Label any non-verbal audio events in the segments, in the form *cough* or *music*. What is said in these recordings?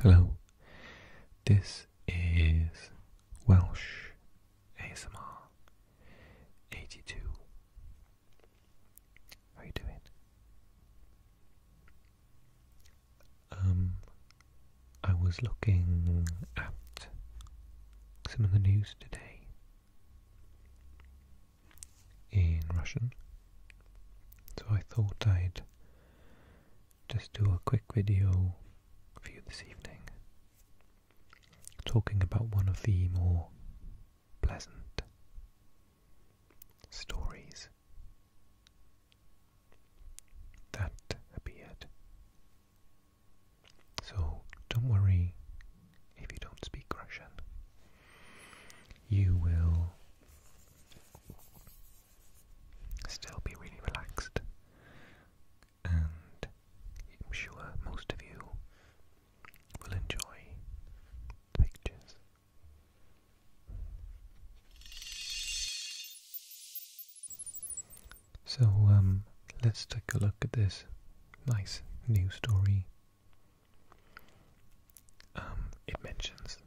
Hello, this is Welsh ASMR 82. How you doing? Um, I was looking at some of the news today in Russian, so I thought I'd just do a quick video for you this evening talking about one of the more pleasant stories that appeared. So don't worry if you don't speak Russian. You will still be really relaxed. And I'm sure most of you will enjoy the pictures. So, um, let's take a look at this nice new story um, it mentions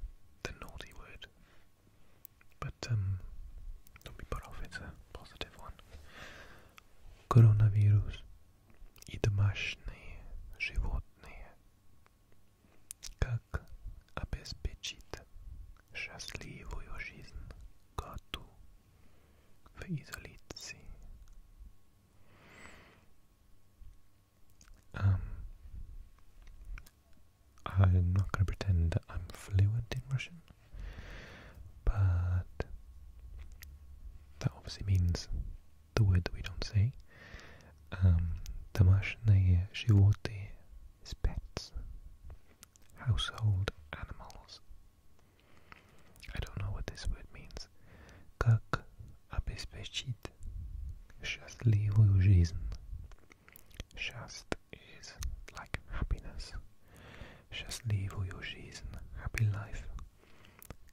the naughty word, but um, don't be put off, it's a positive one. Coronavirus и домашние животные. Как обеспечить счастливую жизнь коту в изоляции? Um, I'm not going to pretend that I'm fluent in Russian, but that obviously means the word that we don't say. Домашние um, животные is pets, household animals. I don't know what this word means. Как just live счастливую жизнь. Счасть is like happiness. your жизнь, happy life.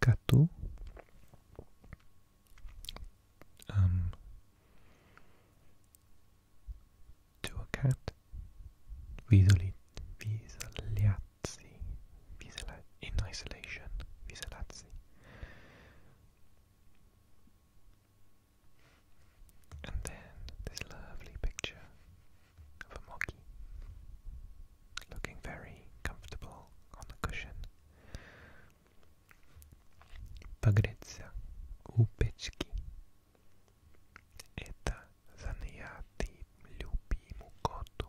Коту um, to a cat visually in isolation, isolati, and then this lovely picture of a monkey looking very comfortable on the cushion. Pagretsa upeczki. Это занятый любимый коту.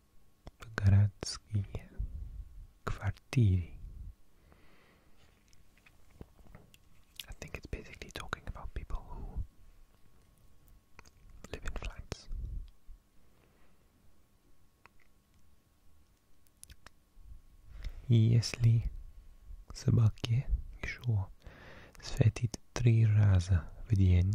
городские квартиры. I think it's basically talking about people who live in flats. Если собаке еще светит три раза в день,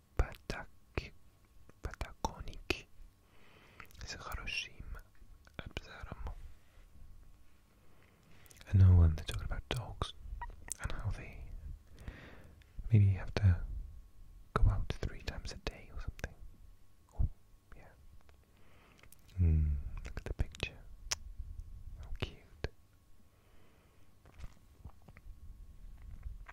Patak, Patakonik z Hiroshima Absarum. I know when they're talking about dogs and how they maybe you have to go out three times a day or something. Oh, yeah. Hmm, look at the picture. How cute.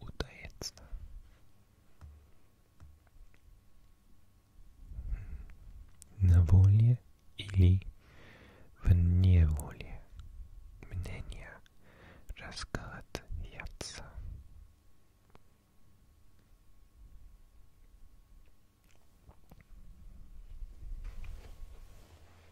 утаится. На воле или вне воли мнения расколотятся.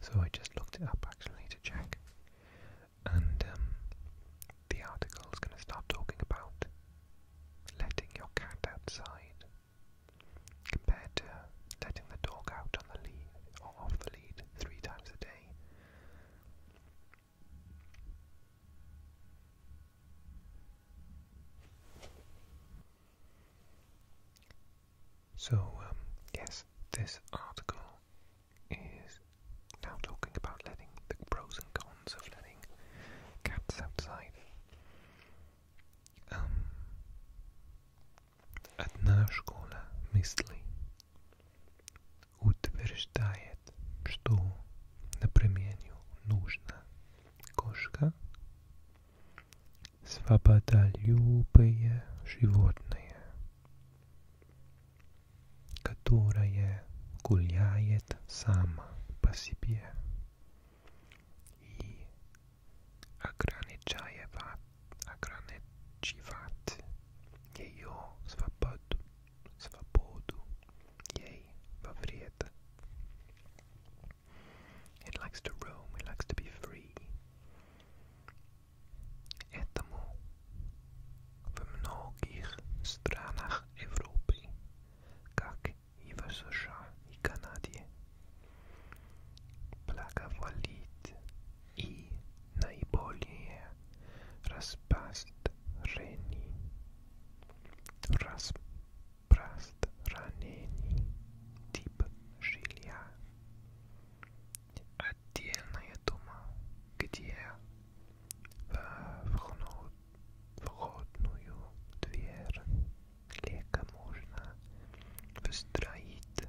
So I just looked it up actually to check. And um, the article is going to start talking about letting your cat outside compared to letting the dog out on the lead or off the lead three times a day. So, um, yes, this article is now talking about letting the pros and cons of letting cats outside. Um, одна школа утверждает, что, например, нужна кошка, свободолюбое животное, которое гуляет сама по себе и ограничивает, ограничивает ее свободу svobodu, yea, vavriet. It likes to roam, it likes to be free. Этому в многих странах Европы, как и в США и Канаде, благоволит и наиболее распространений. Распространений тип жилья. Отдельная дома, где э, в входную дверь легко можно выстроить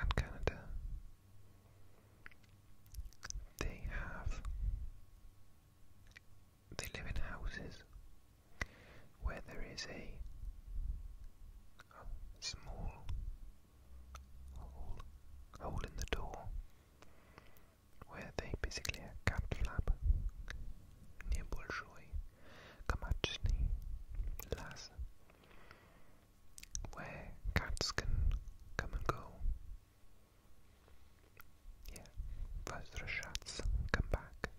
and Canada. They have they live in houses where there is a, small hole, hole in the door where they basically a kept flap nie bolszoi kamaczny las where cats can come and go. Yeah, возвращаться, come back.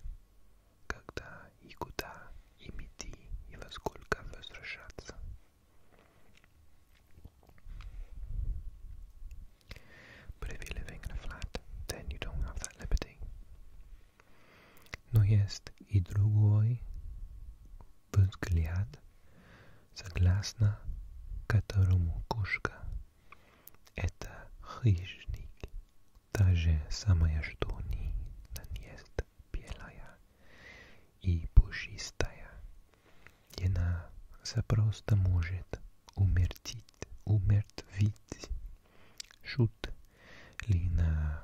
Когда и куда им идти и во сколько возвращаться. But if you're living in a flat, then you don't have that liberty. Но есть и другой взгляд, согласно которому кошка — это хищник, та же самая, что у нее есть белая и пушистая. И она запросто может умертить, умертвить шут ли на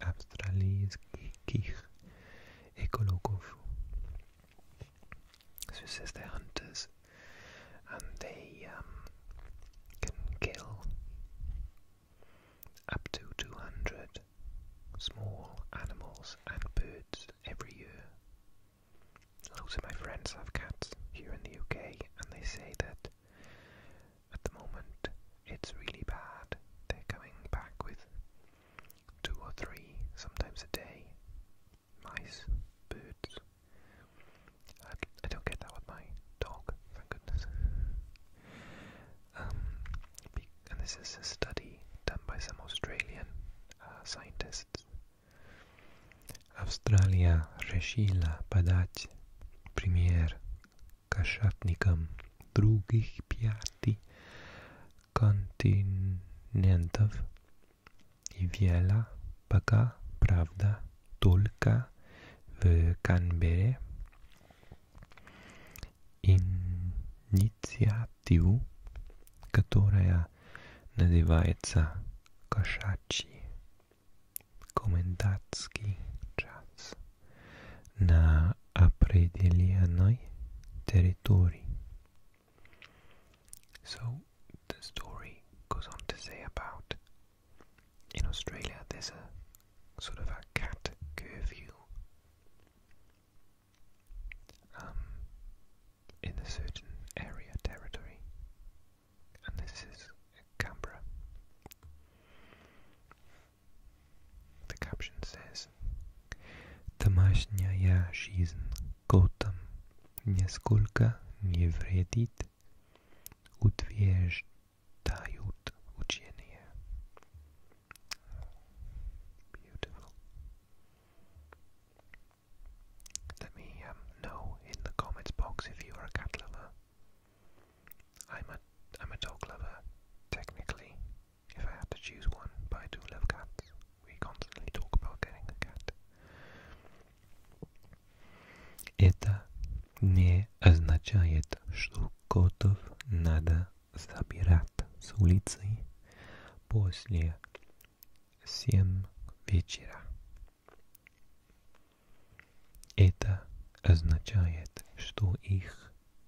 australijskich ecologów. So it says they're hunters and they um, can kill up to 200 small animals and birds every year. Loads of my friends have cats here in the UK and they say that at the moment it's really bad. They're coming back with two or three, sometimes a day. Mice, birds. I, don't get that with my dog, thank goodness. Um, and this is a study done by some Australian uh, scientists. Australia решила подать пример kašatnikam drugih pjati kontinentov i vjela pa pravda tolka v Kanbere inicijativu katoraja nazivajca kašači komendatski čas. на определенной territory. So the story goes on to say about in Australia there's a sort of a cat curfew um, in a certain area territory, and this is Canberra. The caption says Домашняя жизнь котом нисколько не вредит, утверждают учения. Beautiful. Let me um, know in the comments box if you are a cat lover. I'm a I'm a dog lover, technically, If I had to choose one, but I do love cats. We constantly talk about getting a cat. Это не означает, что котов надо забирать с улицы после семь вечера. Это означает, что их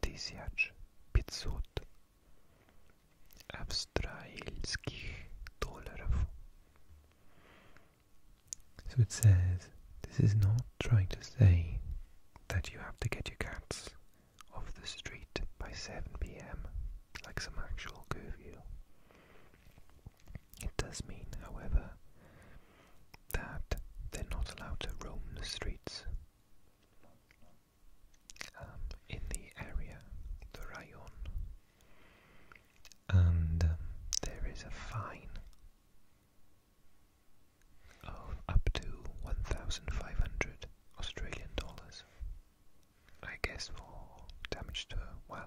тысяч пятьсот австралийских So it says this is not trying to say that you have to get your cats off the street by 7 pm like some actual curfew. It does mean, however, that they're not allowed to roam the streets. Um, in the area, the rayon, and um, there is a fine of up to 1,500 Australian dollars, I guess, for damage to wildlife.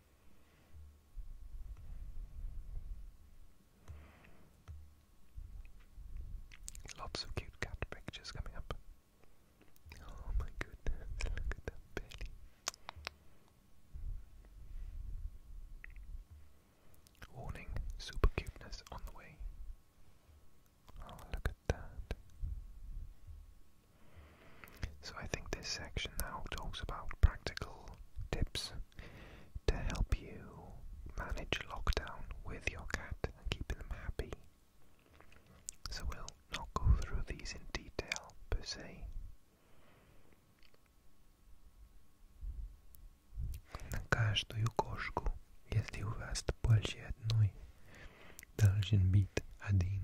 Lots of cute cat pictures coming up. Oh my goodness, *laughs* look at that belly. Warning, super cuteness on the way. Oh, look at that. So I think this section now talks about practical tips to help you manage lockdown with your cat and keeping them happy. So we'll not go through these in detail per se. На каждую кошку, если у вас больше одной, должен быть один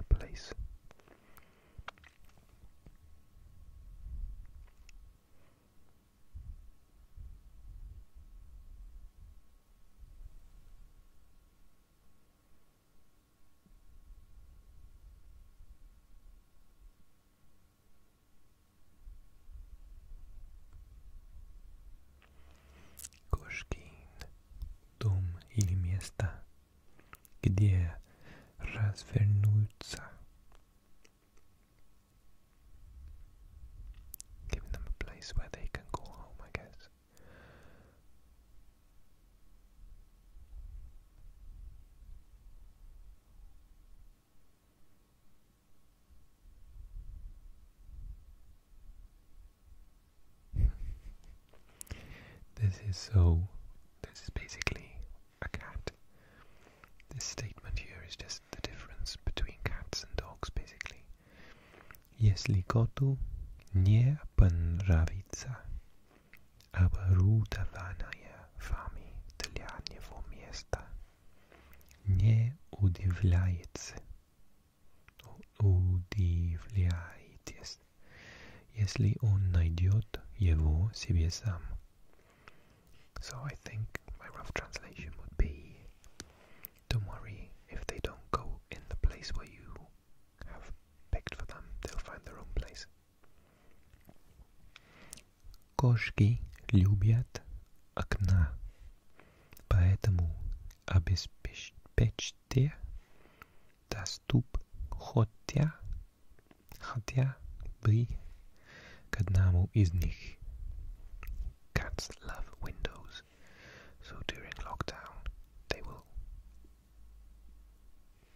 a place. Koškin, dom ili mjesta Где развернуться? Giving them a place where they can call home, I guess. This is so, this is basically a cat. This statement here is just the difference between cats and dogs, basically. Если коту не понравится оборудование вами для него места, не удивляется, удивляйтесь. Если он найдет его себе сам. So I think my rough translation would be Don't worry if they don't go in the place where you have picked for them, they'll find their own place. Кошки любят окна, поэтому обеспечьте доступ хотя Хотя бы к одному из них. Cats love windows, so during lockdown they will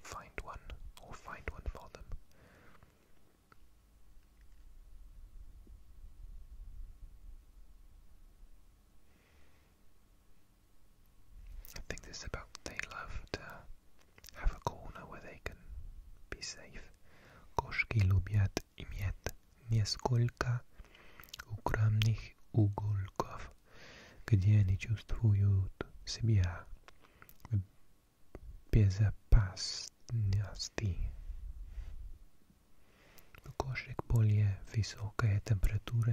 find one or find one for them. I think this is about they love to have a corner where they can be safe. Koszki lubiat imiet nieskolka ukramnych уголков, где они чувствуют себя в безопасности. У кошек более высокая температура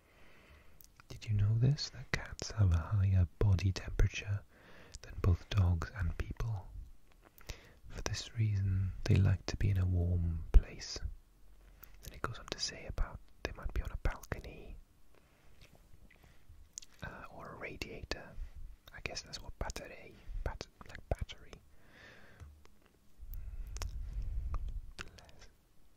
Did you know this? That cats have a higher body temperature than both dogs and people. For this reason, they like to be in a warm place. Then it goes on to say about they might be on a balcony uh, or a radiator. I guess that's what battery, bat like battery.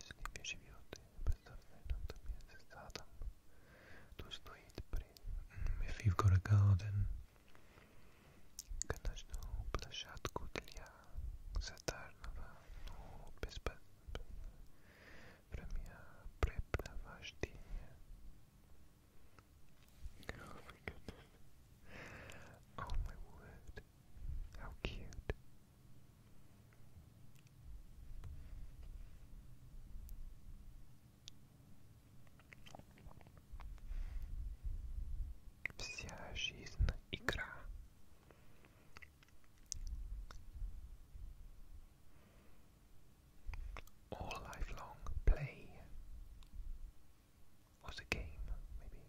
Jeśli wyżywiony bezdomny natomiast Adam, to znajdzie przy Figure Garden kanaszną blaszatku dla zatarnego no Время препровождения. Oh my goodness. Oh my word. How cute. Вся жизнь игра. play was a game, maybe.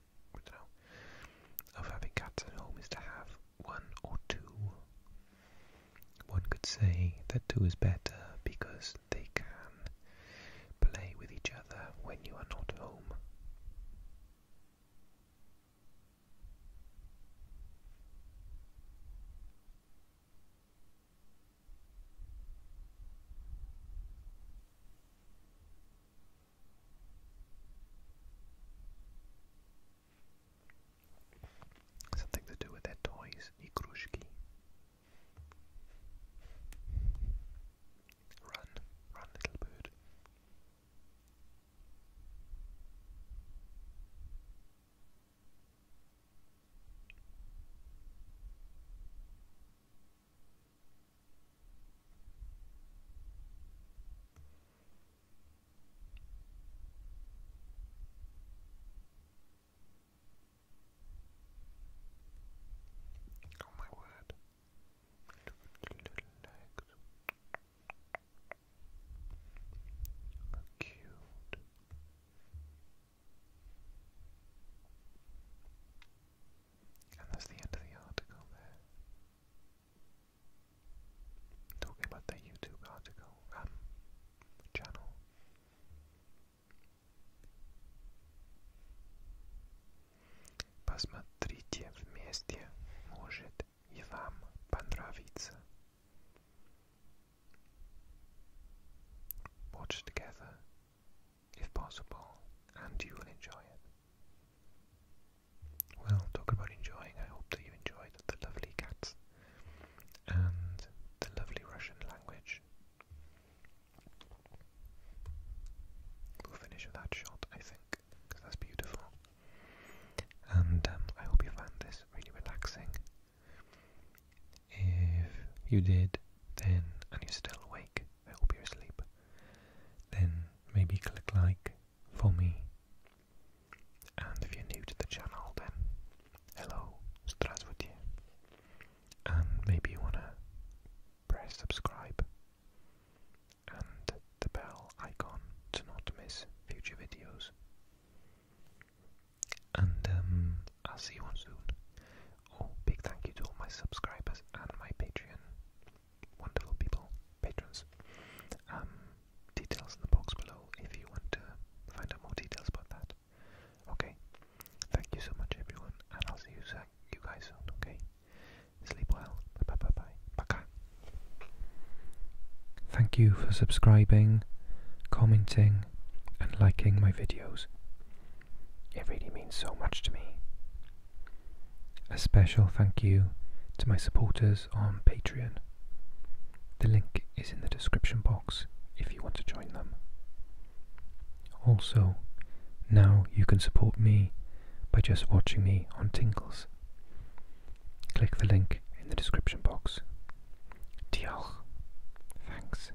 of having cats at home is to have one or two. One could say that two is better because they can play with each other when you are not home. Something to do with their toys, Nikrushki. Run, run, little bird. Oh, my word. Look at the little cute. And that's the end of the article there. Talking about the YouTube article, um, channel. Посмотрите вместе, может и вам понравится. Watch together, if possible, and you will enjoy it. Well, talk about enjoying. I hope that you enjoyed the lovely cats and the lovely Russian language. We'll finish that shot, I think, because that's beautiful. And um, I hope you found this really relaxing. If you did, then, and you're still awake, I hope you're asleep then maybe click like for me. And if you're new to the channel, then hello, Здравствуйте. And maybe you want to press subscribe and the bell icon to not miss future videos. And um, I'll see you soon. Oh, big thank you to all my subscribers and my Patreon wonderful people, patrons. Um, details in the box below if you want to find out more details about that. Okay, thank you so much, everyone, and I'll see you, you guys soon. Okay, sleep well. Bye bye bye bye. Baka. Thank you for subscribing, commenting, and liking my videos. It really means so much to me. A special thank you to my supporters on Patreon. The link is in the description box if you want to join them. Also, now you can support me by just watching me on Tinkles. Click the link in the description box. Diolch. Thanks.